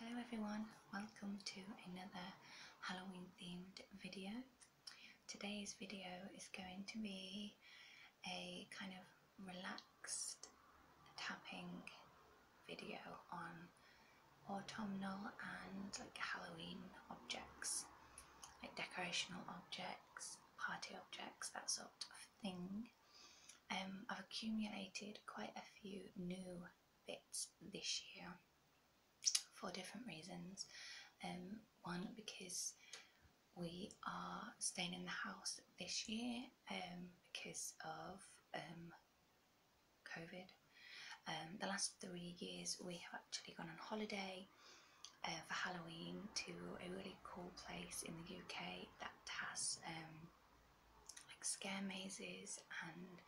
Hello everyone, welcome to another Halloween themed video. Today's video is going to be a kind of relaxed tapping video on autumnal and like Halloween objects, like decorational objects, party objects, that sort of thing. Um, I've accumulated quite a few new bits this year for different reasons. Um, one because we are staying in the house this year um, because of um, COVID. Um, the last three years we have actually gone on holiday uh, for Halloween to a really cool place in the UK that has um, like scare mazes and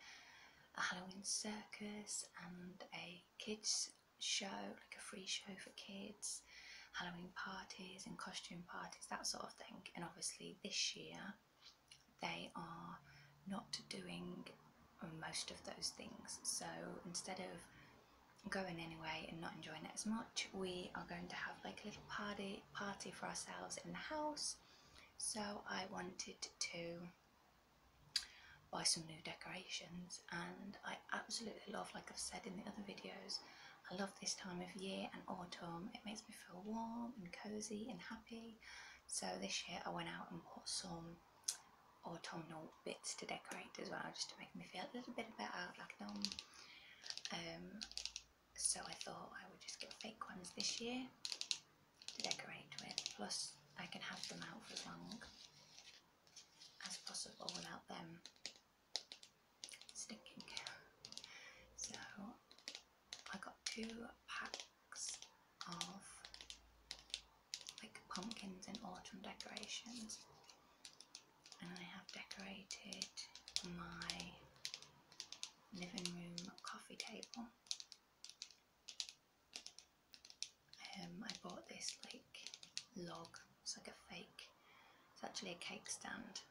a Halloween circus and a kids show, like a free show for kids, Halloween parties and costume parties, that sort of thing. And obviously this year they are not doing most of those things. So instead of going anyway and not enjoying it as much, we are going to have like a little party party for ourselves in the house. So I wanted to buy some new decorations and I absolutely love, like I've said in the other videos, I love this time of year and autumn. It makes me feel warm and cosy and happy. So this year I went out and bought some um, autumnal bits to decorate as well, just to make me feel a little bit better, like normal. Um, so I thought I would just get fake ones this year to decorate with. Plus, I can have them out for as long as possible without them stinking. So I got two packs of like pumpkins and autumn decorations and I have decorated my living room coffee table. Um, I bought this like log, it's like a fake, it's actually a cake stand.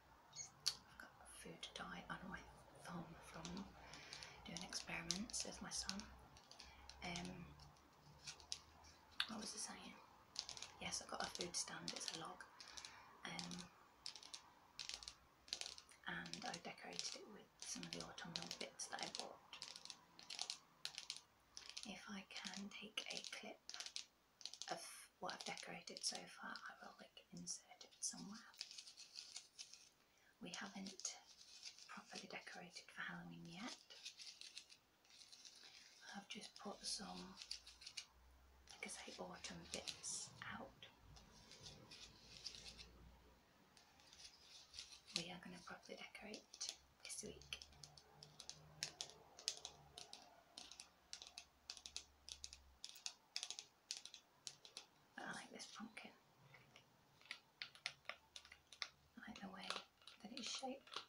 I've got food dye on my thumb from doing experiments with my son. Um, what was I saying? Yes, I got a food stand, it's a log. Um, and I decorated it with some of the autumnal bits that I bought. If I can take a clip of what I've decorated so far, I will insert it somewhere. We haven't properly decorated for Halloween yet. I've just put some, like I say, autumn bits out. We are going to properly decorate this week. I like this pumpkin. I like the way that it's shaped.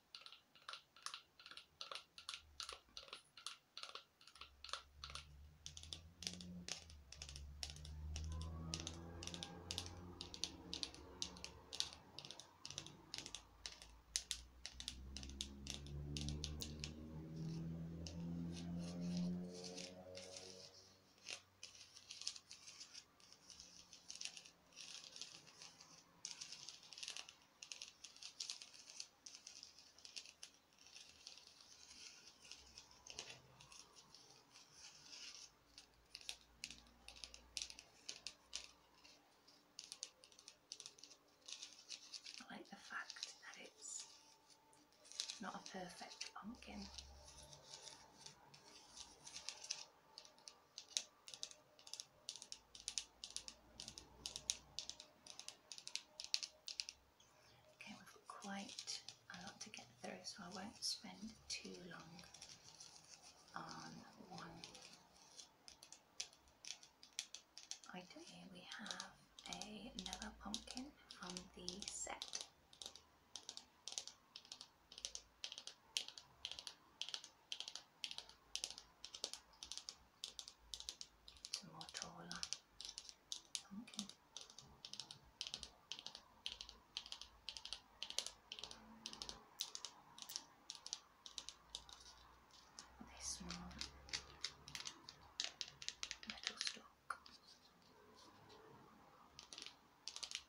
I like the fact that it's not a perfect pumpkin. Okay, we've got quite a lot to get through, so I won't spend too long on one item. we have another pumpkin from the set. Some Motorola. metal stock.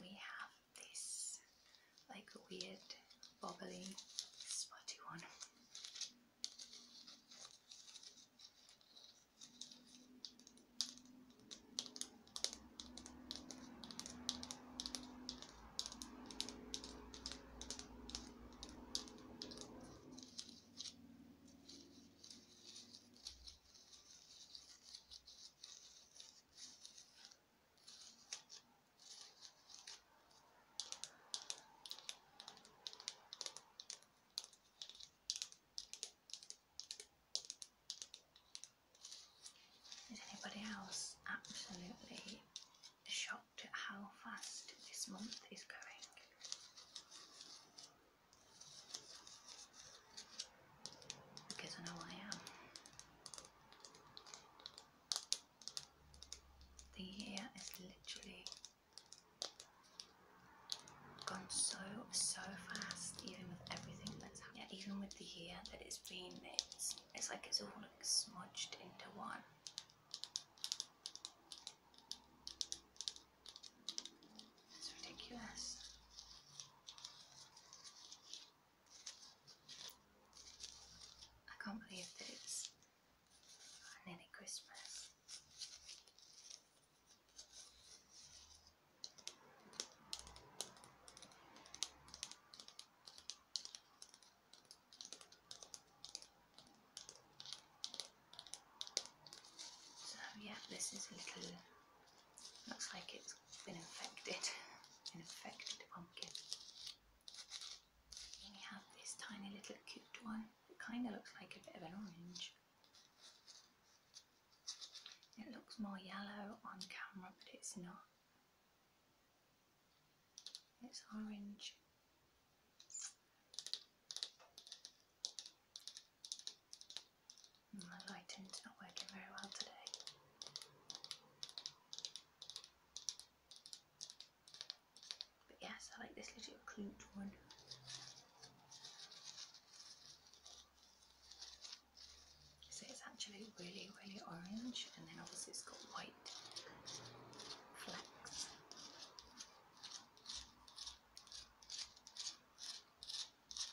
we have this like weird bobbly spotty one. Is anybody else absolutely shocked at how fast this month is going? Because I know I am. The year has literally gone so, so fast, even with everything that's happened. Yeah, even with the year that it's been, it's, it's like it's all smudged into one. It's ridiculous. I can't believe that it's nearly Christmas. So, yeah, this is little Looks like it's been infected. An infected pumpkin. we have this tiny little cute one. It kind of looks like a bit of an orange. It looks more yellow on camera, but it's not. It's orange. Mm, my lighting's not working very well today. But yes, I like this little clute one. So it's actually really, really orange, and then obviously it's got white flecks.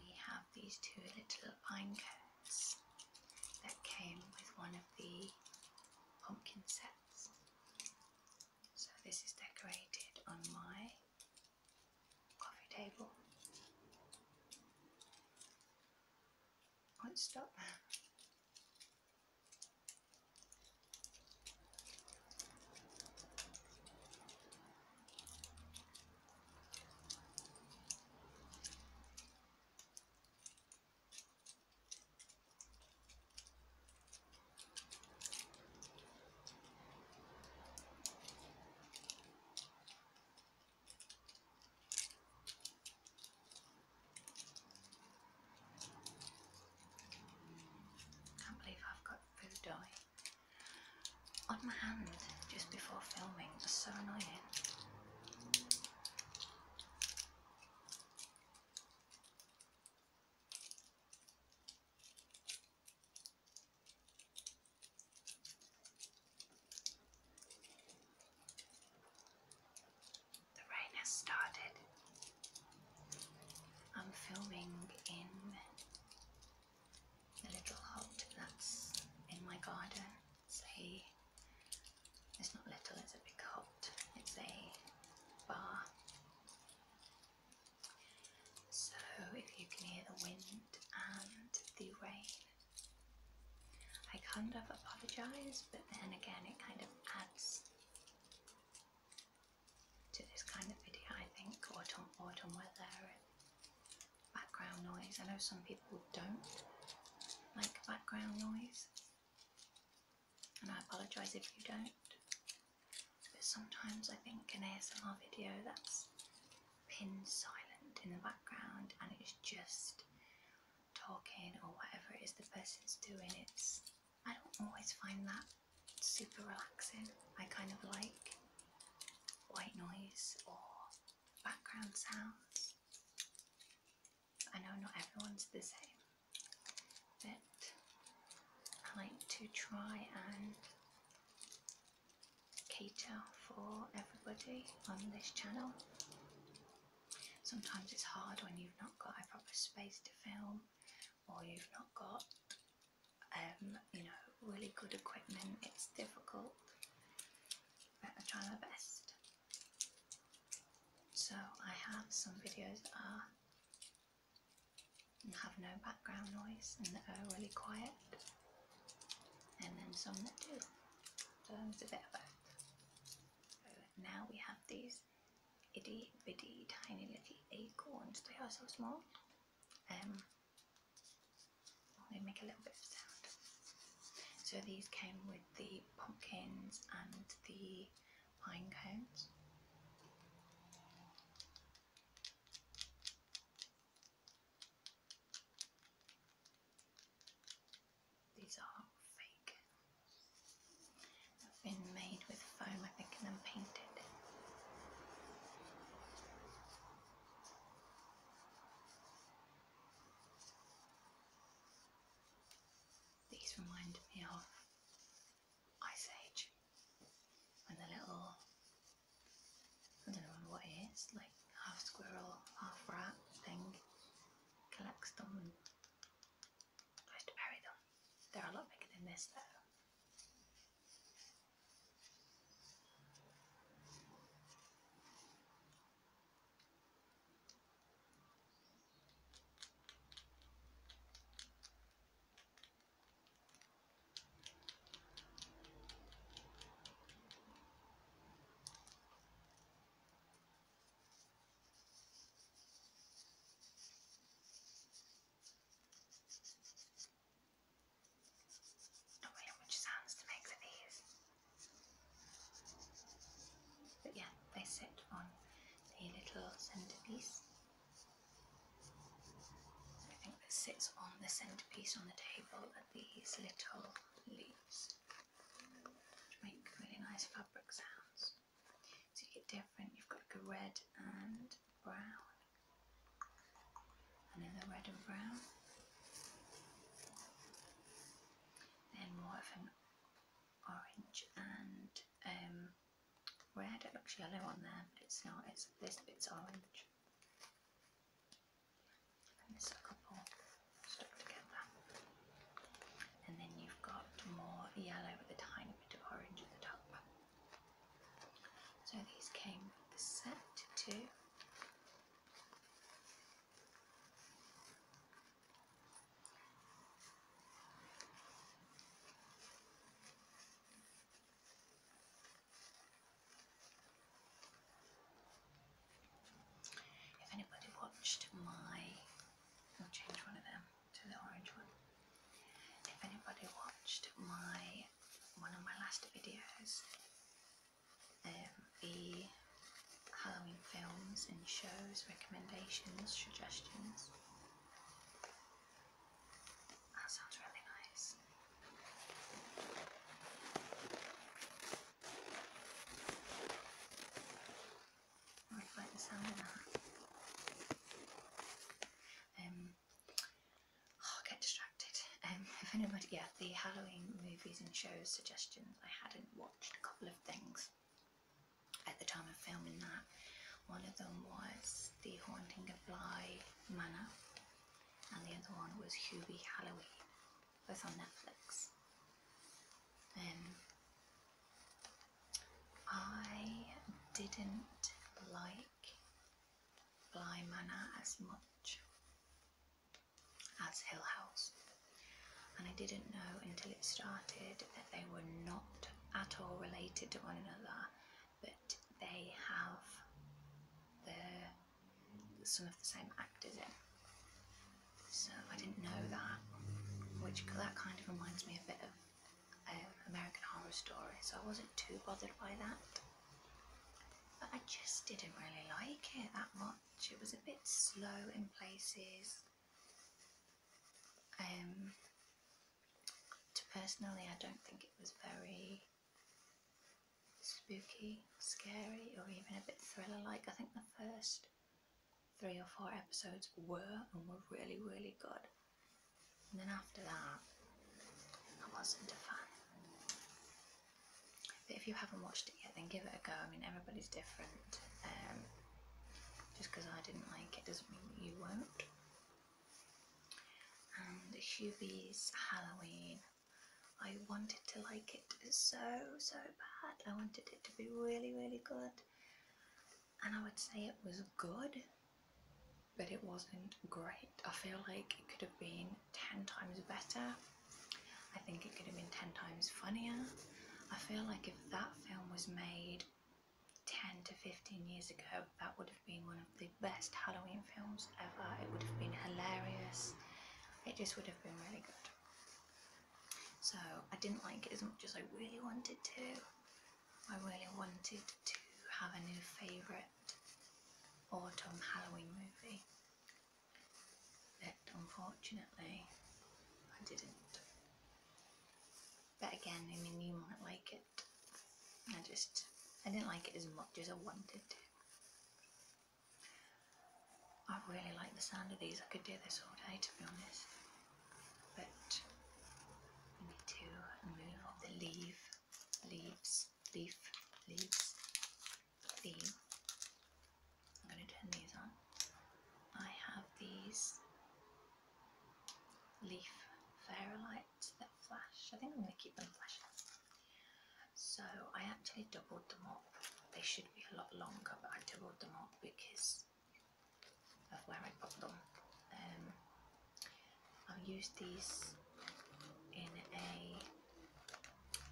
We have these two little pine cones sets that came with one of the pumpkin sets. So this is decorated on my coffee table. Won't stop. Can't believe I've got food dye on my hand just before filming. It's so annoying. The rain has started. I'm filming in the little hut that's in my garden see, it's not little, it's a big cult, it's a bar. So if you can hear the wind and the rain, I kind of apologise, but then again, it kind of adds to this kind of video, I think, autumn, autumn weather background noise. I know some people don't like background noise, and I apologise if you don't, but sometimes I think an ASMR video that's pinned silent in the background and it's just talking or whatever it is the person's doing, it's I don't always find that super relaxing. I kind of like white noise or background sounds. I know not everyone's the same, but I like to try and cater for everybody on this channel. Sometimes it's hard when you've not got a proper space to film or you've not got um, you know, really good equipment, it's difficult, but I try my best. So I have some videos that are have no background noise and that are really quiet and then some that do. So it's a bit of that. now we have these itty bitty tiny little acorns. They are so small. Um they make a little bit of sound. So these came with the pumpkins and the pine cones. These are fake. They've been made with foam, I think, and then painted. These remind me of Ice Age when the little, I don't know what it is, like half squirrel, half rat thing collects them and tries to bury them. They're a lot bigger than this though. A way in which sounds to make for these. But yeah, they sit on the little centerpiece. I think this sits on the centerpiece on the table at these little leaves, which make really nice fabric sounds. So you get different, you've got like a red and brown, another red and brown then more of an orange and um, red. It looks yellow on there, but it's not. It's this bit's orange. And there's a couple stuck together. And then you've got more yellow with a tiny bit of orange at the top. So these came with the set too. If anybody watched my, I'll change one of them to the orange one. If anybody watched my one of my last videos um, the Halloween films and shows, recommendations, suggestions. That sounds really nice. I really like the Um, oh, get distracted. Um, if anybody, yeah, the Halloween movies and shows suggestions, I hadn't watched a couple of things at the time of filming that. One of them was The Haunting of Bly Manor, and the other one was Hubie Halloween, both on Netflix. Um, I didn't like Bly Manor as much as Hill House. And I didn't know until it started that they were not at all related to one another, but they have the some of the same actors in. So I didn't know that, which that kind of reminds me a bit of um, American Horror Story. So I wasn't too bothered by that, but I just didn't really like it that much. It was a bit slow in places. Um, personally, I don't think it was very spooky, scary, or even a bit thriller like. I think the first three or four episodes were and were really, really good. And then after that, I wasn't a fan. But if you haven't watched it yet, then give it a go. I mean, everybody's different. Um, just because I didn't like it doesn't mean you won't. And Hubie's Halloween. I wanted to like it so, so bad. I wanted it to be really, really good. And I would say it was good, but it wasn't great. I feel like it could have been 10 times better. I think it could have been 10 times funnier. I feel like if that film was made 10 to 15 years ago, that would have been one of the best Halloween films ever. It would have been hilarious. It just would have been really good. So I didn't like it as much as I really wanted to. I really wanted to have a new favourite autumn Halloween movie but unfortunately I didn't. But again, I mean, you might like it. I just, I didn't like it as much as I wanted to. I really like the sound of these. I could do this all day, to be honest. But we need to remove off the leaf, leaves, leaf, leaves, leaf. I'm going to turn these on. I have these leaf lights that flash. I think I'm going to keep them flashing. So I actually doubled them up. They should be a lot longer, but I doubled them up because of where I put them. Um, I'll use these in a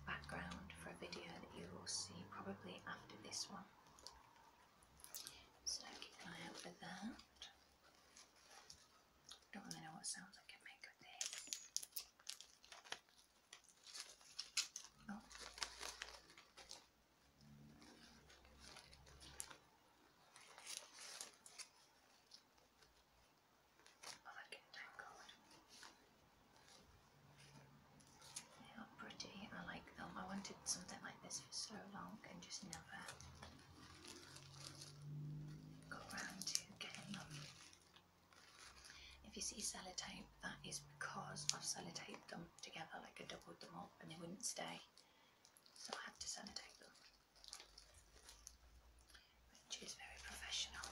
background for a video that you will see probably after this one. So keep an eye that. Don't know what sounds I can make with Oh. Oh, that tangled. They are pretty, I like them. I wanted something like this for so long and just never got around to getting them. If you see sellotape, that is because I've sellotaped them together, like I doubled them up and they wouldn't stay. So I had to sellotape them. Which is very professional.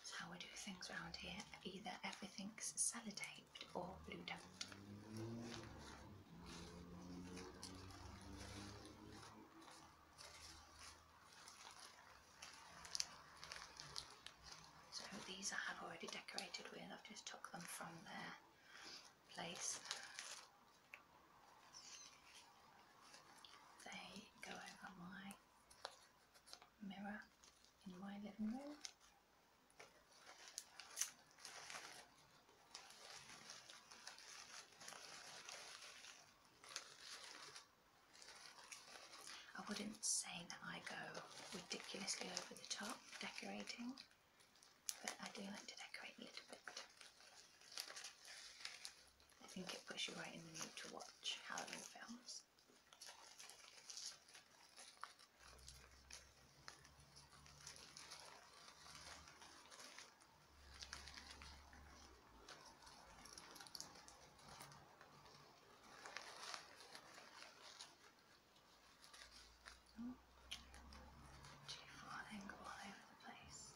It's how we do things around here. Either everything's sellotaped or glued up. So these I have already decorated with. I've just took them from their place. They go over my mirror in my living room. I wouldn't say that I go ridiculously over the top decorating, but I do like to decorate a little bit. I think it puts you right in the mood to watch Halloween films. Oh, too far then all over place.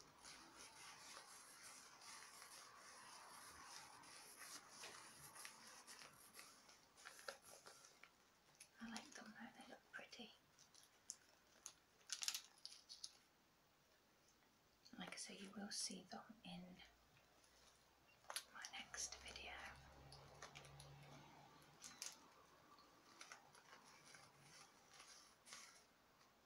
I like them though, they look pretty. Like I say, you will see them in my next video.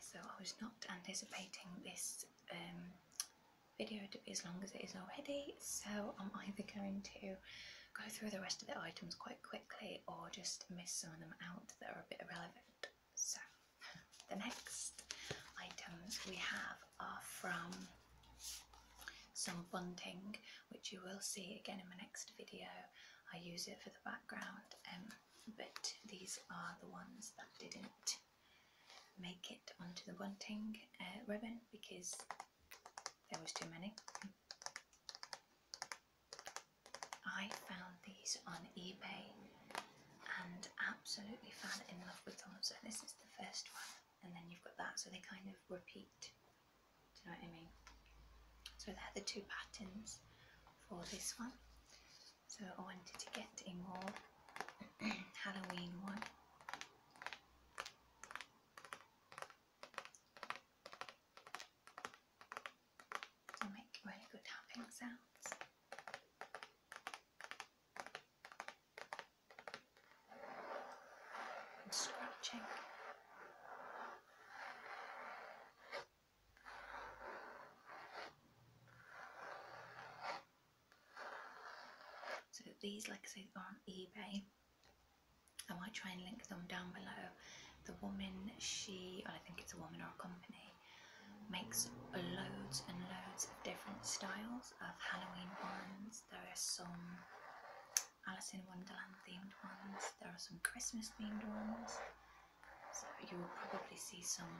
so I was not anticipating this um, video to be as long as it is already, so I'm either going to go through the rest of the items quite quickly or just miss some of them out that are a bit irrelevant. So, the next items we have are from some bunting, which you will see again in my next video. I use it for the background. Um, but these are the ones that didn't make it onto the wanting uh, ribbon because there was too many. I found these on eBay and absolutely fell in love with them. So this is the first one and then you've got that so they kind of repeat. Do you know what I mean? So there are the two patterns for this one. So I wanted to get a more Halloween one. They make really good tapping sounds. And scratching. So these, like I say, are on eBay. I might try and link them down below. The woman, she, I think it's a woman or a company, makes loads and loads of different styles of Halloween ones. There are some Alice in Wonderland themed ones, there are some Christmas themed ones, so you will probably see some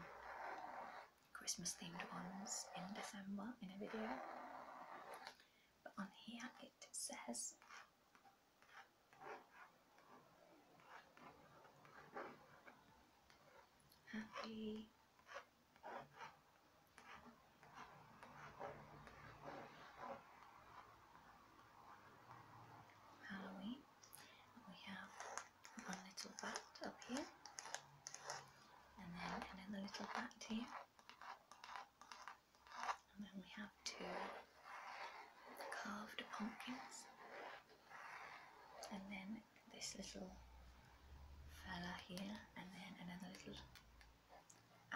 Christmas themed ones in December in a video. But on here it says Happy Halloween. We have one little bat up here, and then the little bat here, and then we have two carved pumpkins, and then this little fella here, and then another little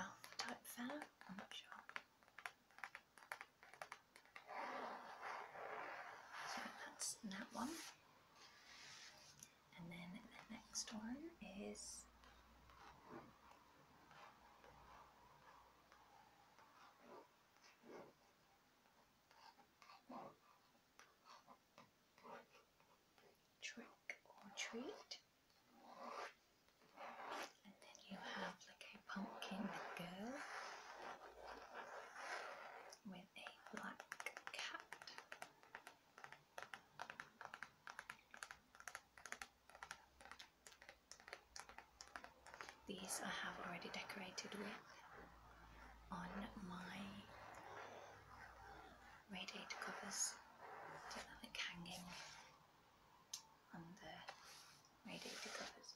elf type fella, I'm not sure. So that's that one. And then the next one is trick or treat. And then you have like a pumpkin girl with a black cat. These I have already decorated with on my radiator covers, just like hanging on the radiator covers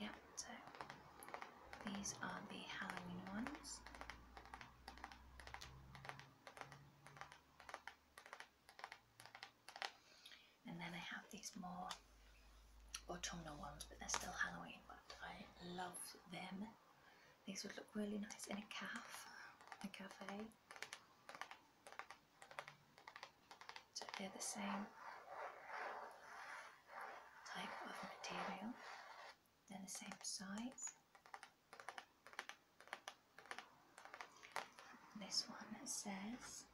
yeah, these are the Halloween ones. And then I have these more autumnal ones, but they're still Halloween, but I love them. These would look really nice in a caf, a cafe. So they're the same type of material. They're the same size. This one says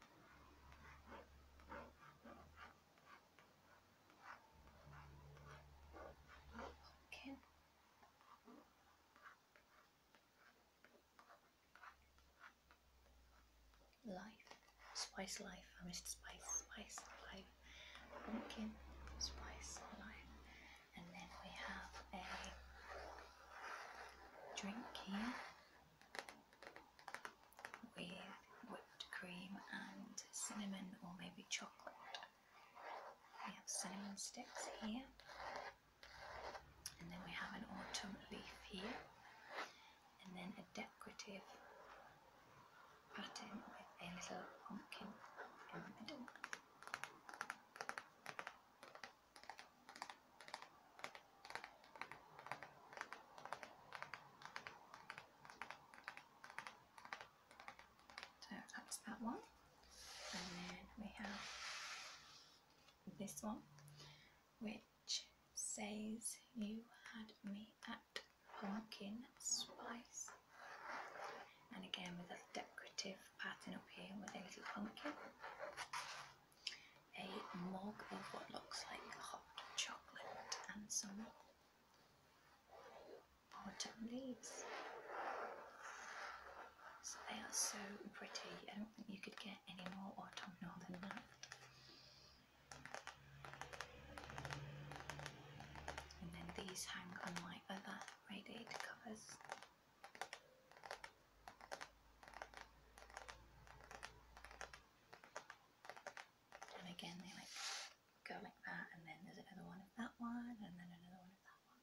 pumpkin Life, spice life. I missed spice, spice life. Pumpkin, spice life. And then we have a drink here with whipped cream and cinnamon or maybe chocolate. We have cinnamon sticks here, and then we have an autumn leaf here, and then a decorative pattern with a little pumpkin in the middle. So that's that one. And then we have this one, which says you had me at pumpkin spice. And again with a decorative pattern up here with a little pumpkin. A mug of what looks like hot chocolate and some autumn leaves. So they are so pretty. I don't think you could get any more autumnal than that. And then these hang on my other radiator covers. And again, they like go like that, and then there's another one of that one, and then another one of that one.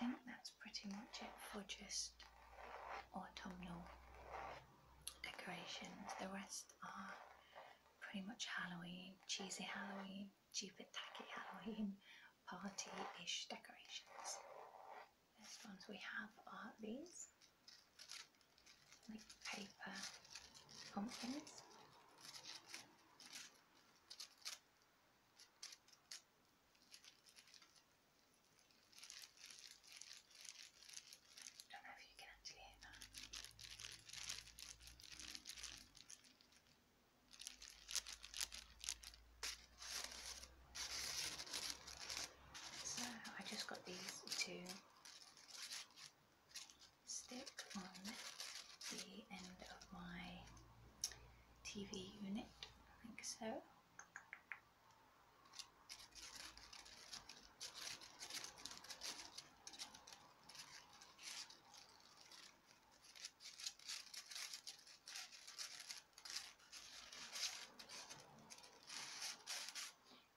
I think that's pretty much it for just autumnal decorations. The rest are pretty much Halloween, cheesy Halloween stupid tacky Halloween party-ish decorations. First ones we have are these, like paper pumpkins. don't know if you can actually hear that. So I just got these to stick on the end of my TV unit, I think so.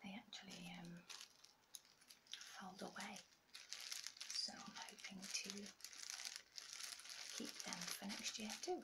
They actually um, fold away, so I'm hoping to keep them for next year too.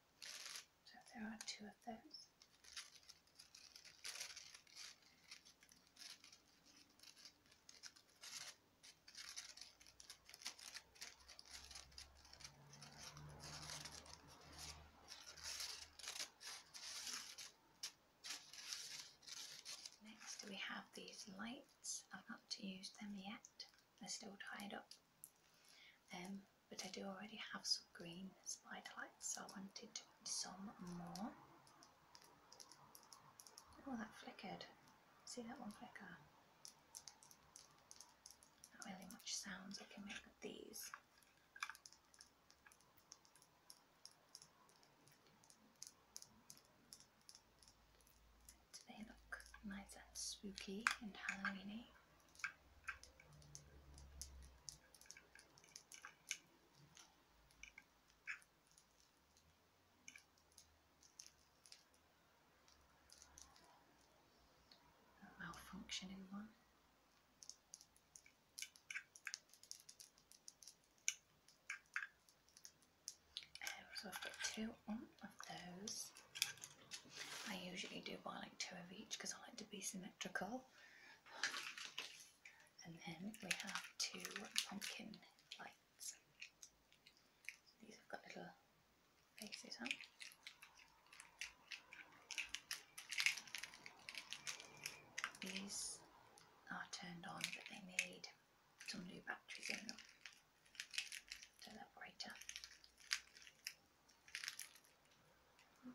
So there are two of those. Next we have these lights. I've not used them yet. I are still tied up. Um, but I do already have some green spider lights, so I wanted some more. Oh, that flickered. See that one flicker? Not really much sounds I can make with these. They look nice and spooky and Halloweeny malfunctioning one. Um, so I've got two of those. I usually do buy like two of each because I like to be symmetrical. And then we have two pumpkin lights. These have got little faces on. These are turned on but they need some new batteries in them. So that brighter. We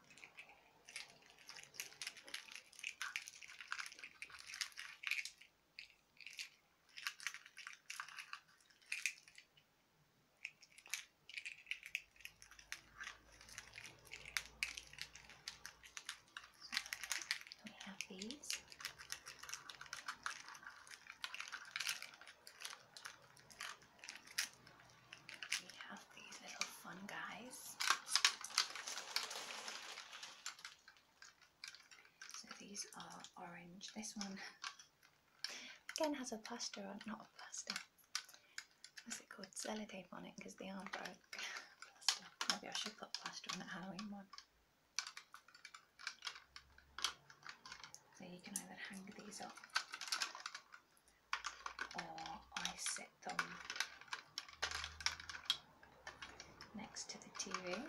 have these. We have these little fun guys. So these are orange. This one again has a plaster on, not a plaster. What's it called? Sellotape on it because they are broke. Maybe I should put plaster on that Halloween one. So you can either hang these up or I set them next to the TV.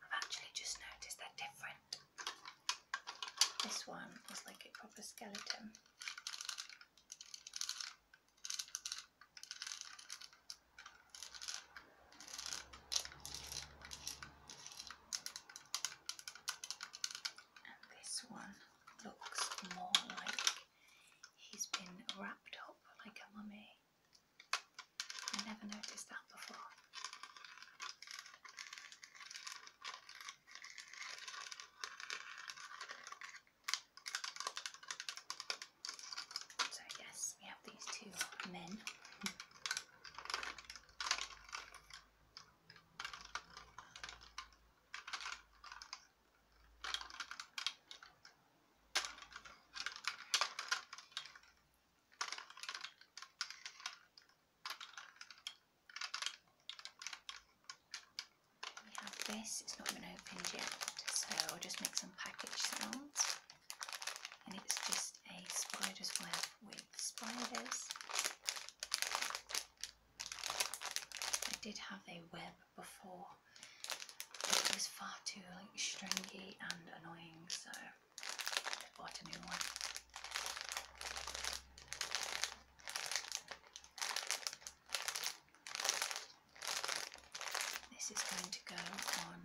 I've actually just noticed they're different. This one is like a proper skeleton. And this one looks more like he's been wrapped up like a mummy. I never noticed that before. So, yes, we have these two men we have this, it's not been opened yet, so I'll just make some package sounds and it's just a spider's web with spiders. I did have a web before, but it was far too like stringy and annoying, so I bought a new one. This is going to go on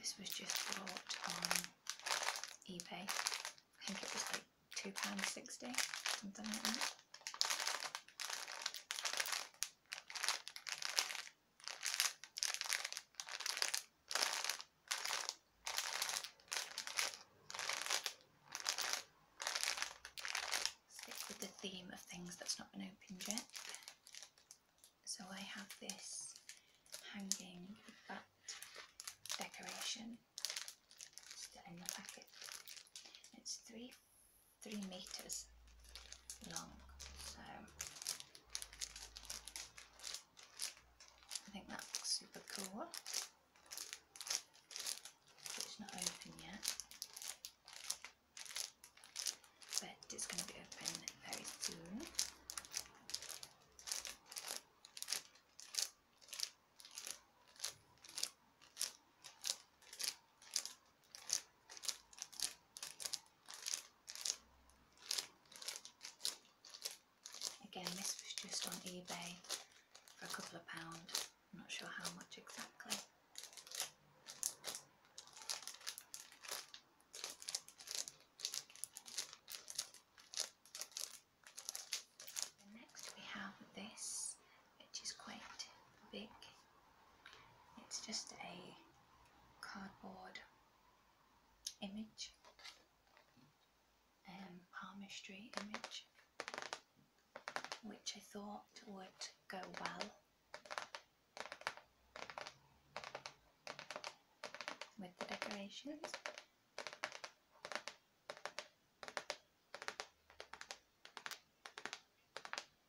this was just bought on eBay. I think it was like £2.60, something like that. Stick with the theme of things that's not been opened yet. So I have this hanging bat decoration still in the packet. It's three three meters long. So I think that looks super cool. It's not open yet, but it's going to be open very soon. Again, this was just on eBay for a couple of pounds. I'm not sure how much exactly. next we have this, which is quite big. It's just a cardboard image, um, palmistry image, which I thought would go well with the decorations.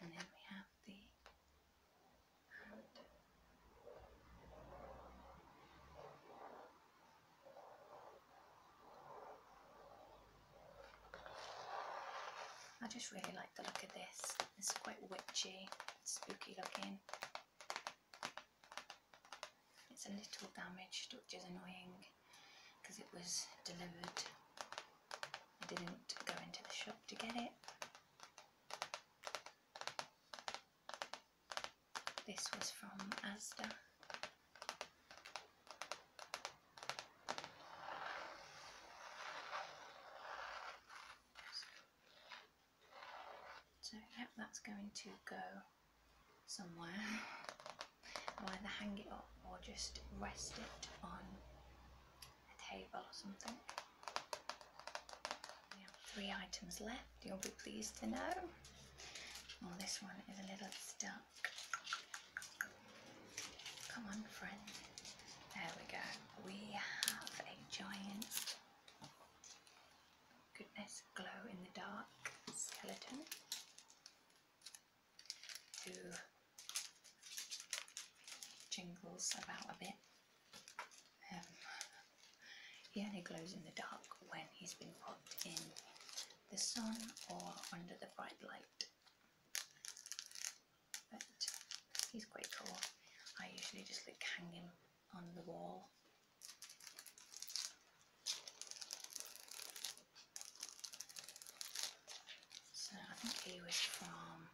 And then we have the hand. I just really like the look of this. It's quite witchy spooky looking. It's a little damaged, which is annoying because it was delivered. I didn't go into the shop to get it. This was from Asda. So yep, that's going to go somewhere. either hang it up or just rest it on a table or something. We have three items left, you'll be pleased to know. Well, this one is a little stuck. Come on, friend. There we go we have a giant, goodness, glow in the dark skeleton who jingles about a bit. Um, he only glows in the dark when he's been put in the sun or under the bright light but he's quite cool. I usually just like hang him on the wall. So I think he was from,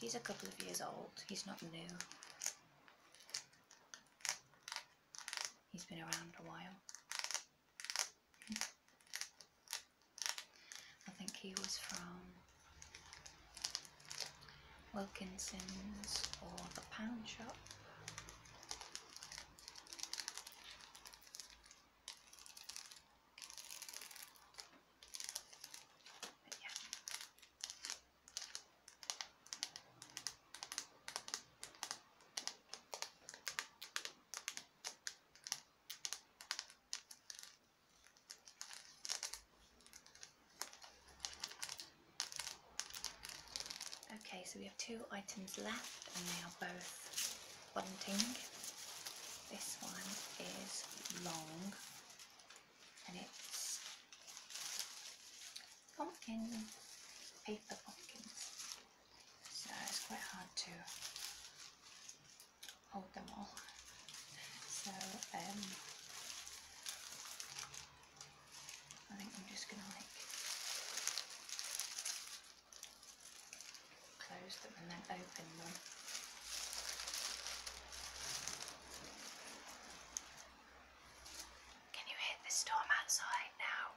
he's a couple of years old, he's not new. He's been around a while. Hmm. I think he was from Wilkinson's or the Pound Shop. yeah. Okay, so we have two items left and they are both wanting. This one is long and it's pumpkin, paper pumpkins. So it's quite hard to hold them all. So um, I think I'm just going to like close them and then open them. Can you hear the storm outside now?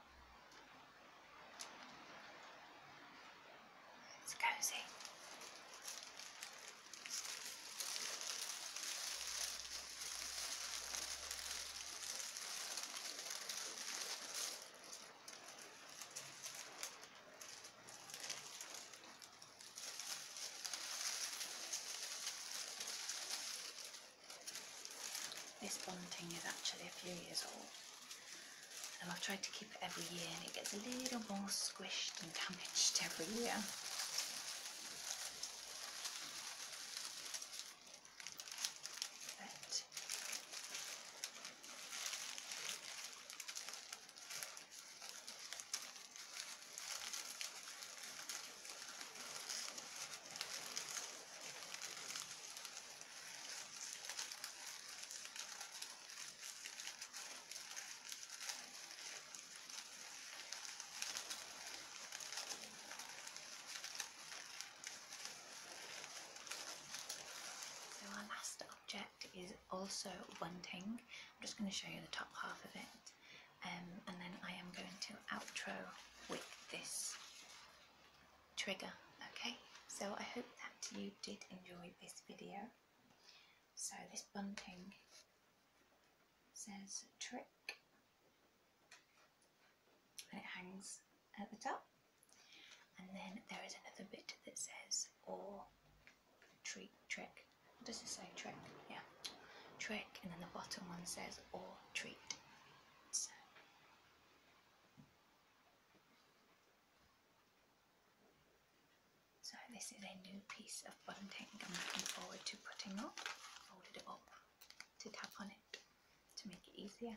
It's cozy. This bunting is actually a few years old and I've tried to keep it every year and it gets a little more squished and damaged everywhere. But so our last object is also bunting. I'm just going to show you the top half of it um, and then I am going to outro with this trigger. Okay, so I hope that you did enjoy this video. So this bunting says trick and it hangs at the top and then there is another bit that says or treat trick What does it say trick yeah trick and then the bottom one says or treat so this is a new piece of bunting I'm looking forward to putting up. Folded it up to tap on it to make it easier.